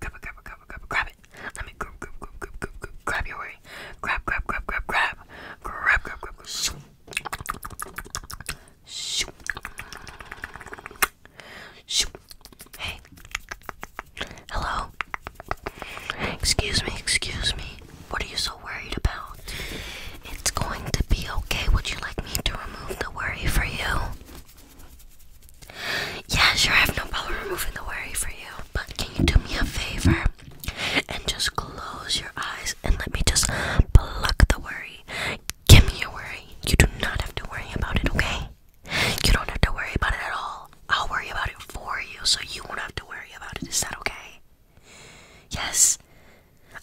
Grab it, grab it, grab it, grab it, Let me grab, grab, grab, grab, grab, your way. grab, grab, grab, grab, grab, grab, grab, grab. Shoo. Shoo. Shoo. Hey. Hello. Excuse me, excuse me. What are you so worried about? It's going to be okay. Would you like me to remove the worry for you? Yeah, sure, I have no problem removing the worry for you, but can you do me a favor and just close your eyes and let me just pluck the worry? Give me your worry. You do not have to worry about it, okay? You don't have to worry about it at all. I'll worry about it for you so you won't have to worry about it. Is that okay? Yes,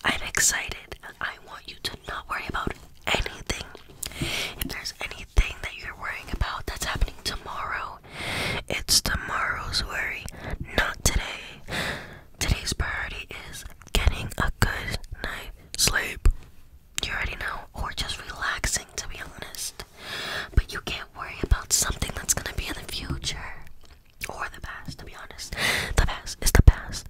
I'm excited. I want you to not worry about anything. If there's anything that you're worrying about that's happening tomorrow, it's tomorrow's worry, not today. Today's priority is getting a good night sleep. You already know, or just relaxing to be honest. But you can't worry about something that's gonna be in the future or the past, to be honest. The past is the past.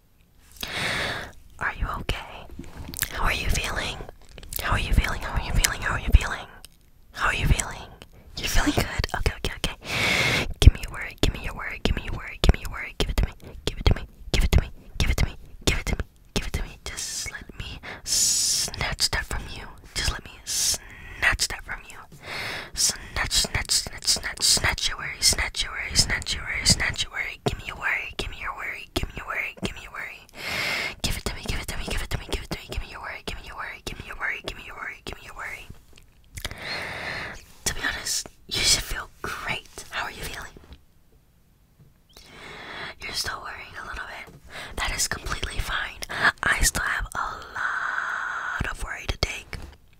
Are you okay? How are you feeling? How are you feeling? How are you feeling? How are you feeling? How are you feeling? You're feeling good? Okay, okay, okay. Give me your word, give me your word, give me your word, give me your word, give it to me, give it to me, give it to me, give it to me, give it to me, give it to me. Just let me snatch that from you. Just let me snatch that from you. Snatch, snatch, snatch, snatch, snatch your worry, snatch your worry, snatch your worry, snatch your worry, worry, give me your worry, give me your worry, give me your worry, give me your worry. Give it to me, give it to me, give it to me, give it to me, give me your worry, give me your worry, give me your worry, give me your worry, give me your worry. To be honest, you should feel great. How are you feeling? You're still worrying a little bit. That is completely fine. I still have a lot of worry to take.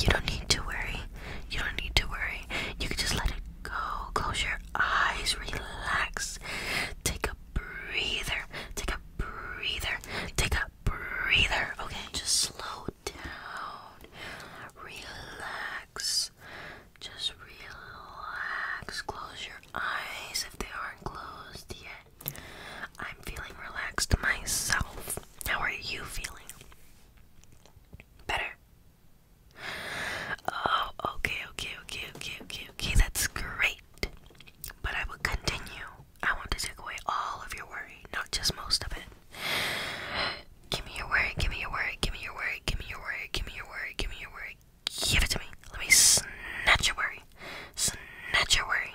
You don't need to worry. You don't need to worry. You can just let it go. Close your eyes. Relax. Take a breather. Take a breather. Take a breather. Okay, just slow down. Relax. Just relax. Close your eyes if they aren't closed yet. I'm feeling relaxed myself. How are you feeling? Better? Oh, okay, okay, okay, okay, okay, okay. That's great. But I will continue. I want to take away all of your worry, not just most of it. Give me your worry, give me your worry, give me your worry, give me your worry, give me your worry, give me your worry. Give it to me. Let me snatch your worry. Snatch your worry.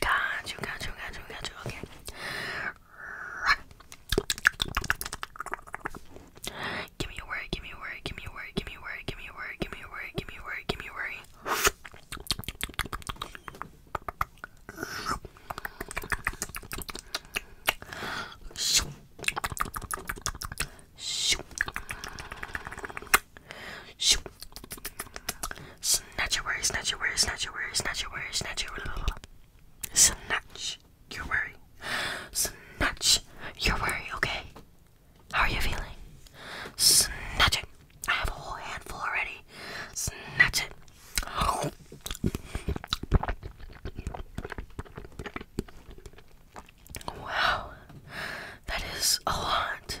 Got you, got you, got you, got you. Okay. Give me a word, give me a word, give me a word, give me a word, give me a word, give me a word, give me a word, give me a word. Shoot. Shoot. Shoot. Snatch your worry, snatch your worry, snatch your worry, snatch your worry, snatch your worry. Snatch your worry. Snatch your worry, okay? How are you feeling? Snatch it. I have a whole handful already. Snatch it. Oh. Wow. That is a lot.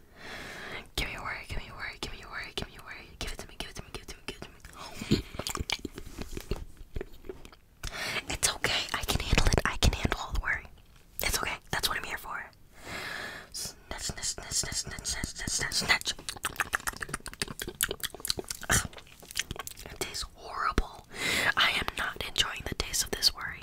Give me a word, give me a word, give me a word, give me a word. Give it to me, give it to me, give it to me, give it to me. It's okay, I can handle it, I can handle all the worry. It's okay, that's what I'm here for. Snatch, snatch, snatch, snatch, snatch, snatch, snatch, snatch. It tastes horrible. I am not enjoying the taste of this worry.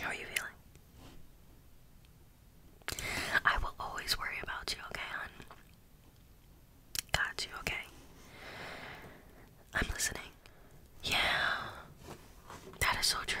How are you feeling? I will always worry about you, okay, hon? Got you, okay? I'm listening. Yeah, that is so true.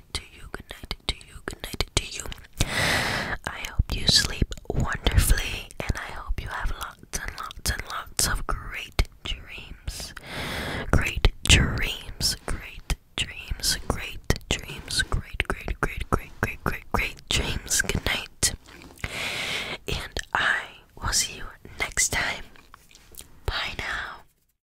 to you, good night to you, good to you. I hope you sleep wonderfully, and I hope you have lots and lots and lots of great dreams. Great dreams, great dreams, great dreams, great, great, great, great, great, great, great dreams. Good night. And I will see you next time. Bye now.